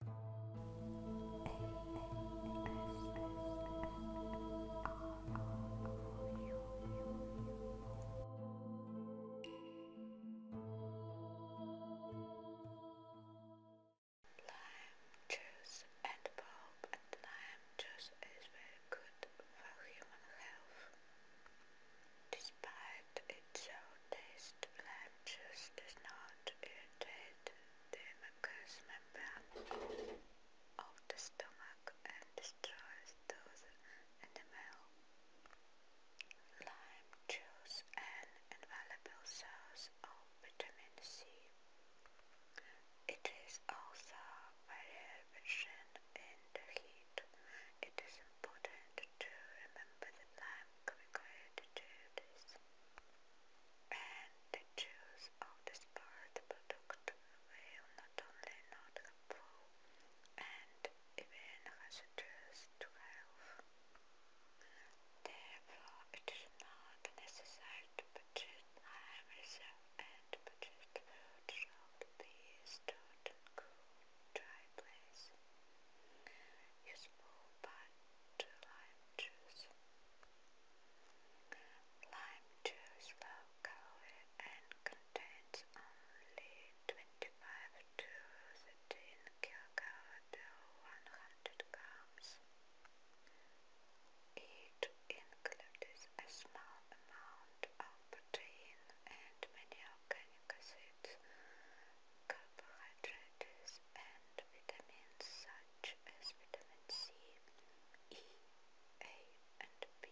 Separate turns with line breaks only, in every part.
Lime juice and pulp and lime juice is very good for human health. Despite its taste lime juice does not irritate the mucous membrane of the stomach and destroys those in the milk. Lime juice an invaluable source of vitamin C. It is also very efficient in the heat. It is important to remember that lime I'm going this. And the juice of this part product not only not helpful and even hazardous to health. Therefore, it is not necessary to purchase high reserve and purchase food should be stored cool dry place. Use full to lime juice. Lime juice low and contains only 25 to 13 kilocalories to 100 grams. It includes a small amount of protein and many organic acids with carbohydrates and vitamins such as vitamin C, E, A and B.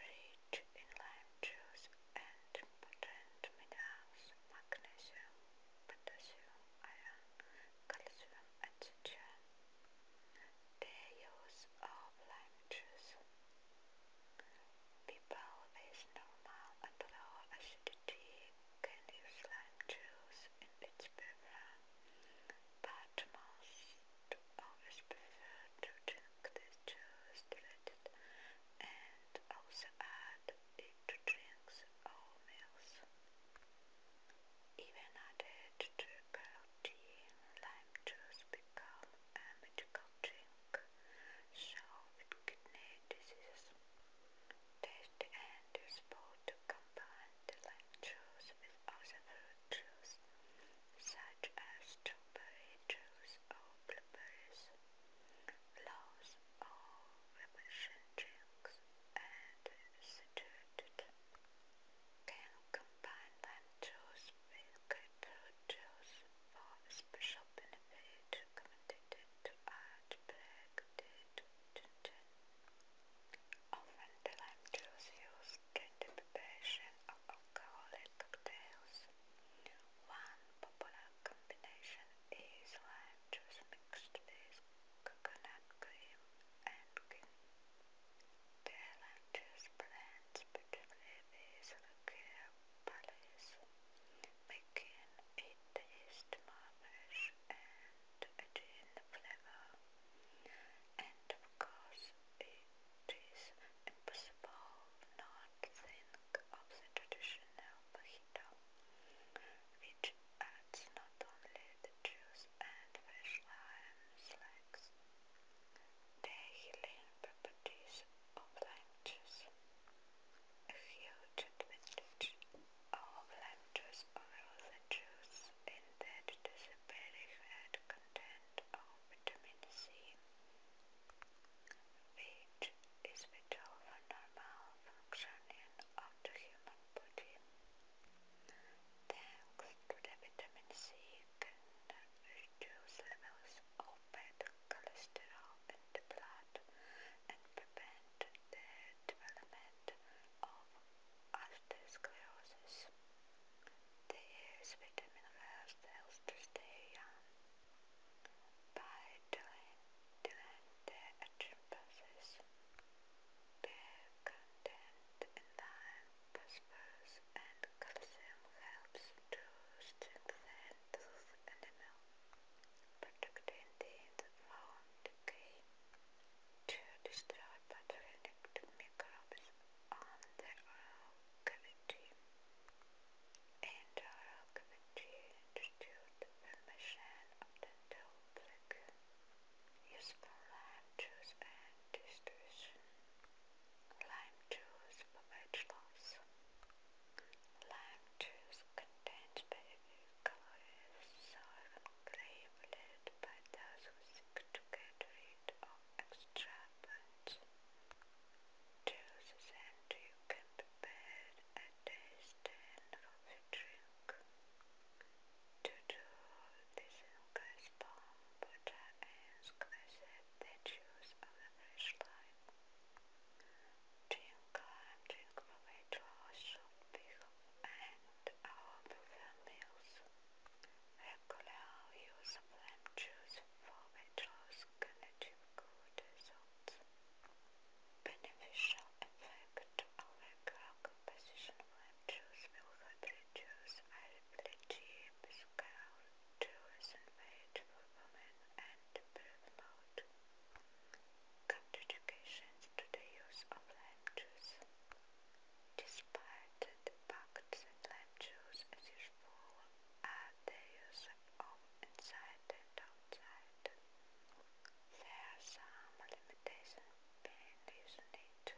Rich in lime juice and potent minerals, magnesium, potassium, iron, calcium, etc tails of lunches. People with normal and acidity can use lime juice in its prefer, but most always prefer to drink this juice treated and also add it to drinks or meals. Even added to carrot lime juice become a medical drink, so kidney disease. Taste and useful to combine the lime juice other fruit juice, such as strawberry juice or blueberries, flows or refreshing drinks, and saturated. Can combine lime with grapefruit juice for special benefit recommended to add black to ginger. juice used in the preparation of alcoholic cocktails. One popular combination is lime juice mixed with coconut cream and gin. Challenges plants, particularly these Lucrea palace, making it taste marmish and attain the flavor. And of course, it is impossible not think of the traditional fajita, which adds not only with juice and fresh lime slugs. The healing properties of lime juice. A huge advantage of lime juice over juice in that it is a very content of vitamin C, which is vital normal functioning human body. Then click to vitamin C can reduce levels of bad cholesterol in the blood and prevent the development of atherosclerosis. This vitamin allows cells stay young by delaying the aging process. Beer content in lime, phosphorus and calcium helps to strengthen tooth enamel, protecting teeth from decay. To destroy pathogenic microbes on the oral cavity. In the oral cavity, due to the formation public use lime juice and distribution. Lime juice for loss. Lime juice contains basic calories, so craved by those who seek to get rid of extra burns. and you can prepare a taste stand for drink. To do this guy's palm, but I ask that they choose of the flashlight. Drink drink for weight loss should and our prefer meals. Regular use of lamb juice for weight loss good results beneficial effect of a drug composition when Jews will help reduce mobility, physical tourism rate for women, and promote contradictions to the use of lime juice. Despite the fact that lime juice is useful are the use of There are some limitations being using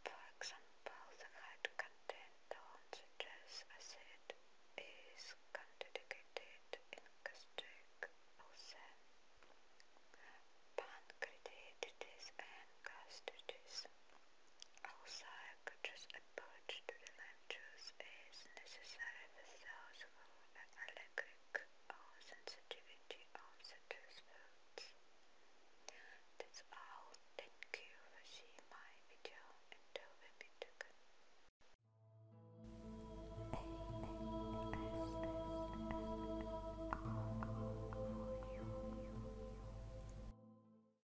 For example, the height content on the acid is contradicted in gastric ulcer. Pancreatitis and gastritis also, purchase approach to the lime juice is necessary without an allergic or sensitivity of the juice fruits. That's all. Thank you for seeing my video and I will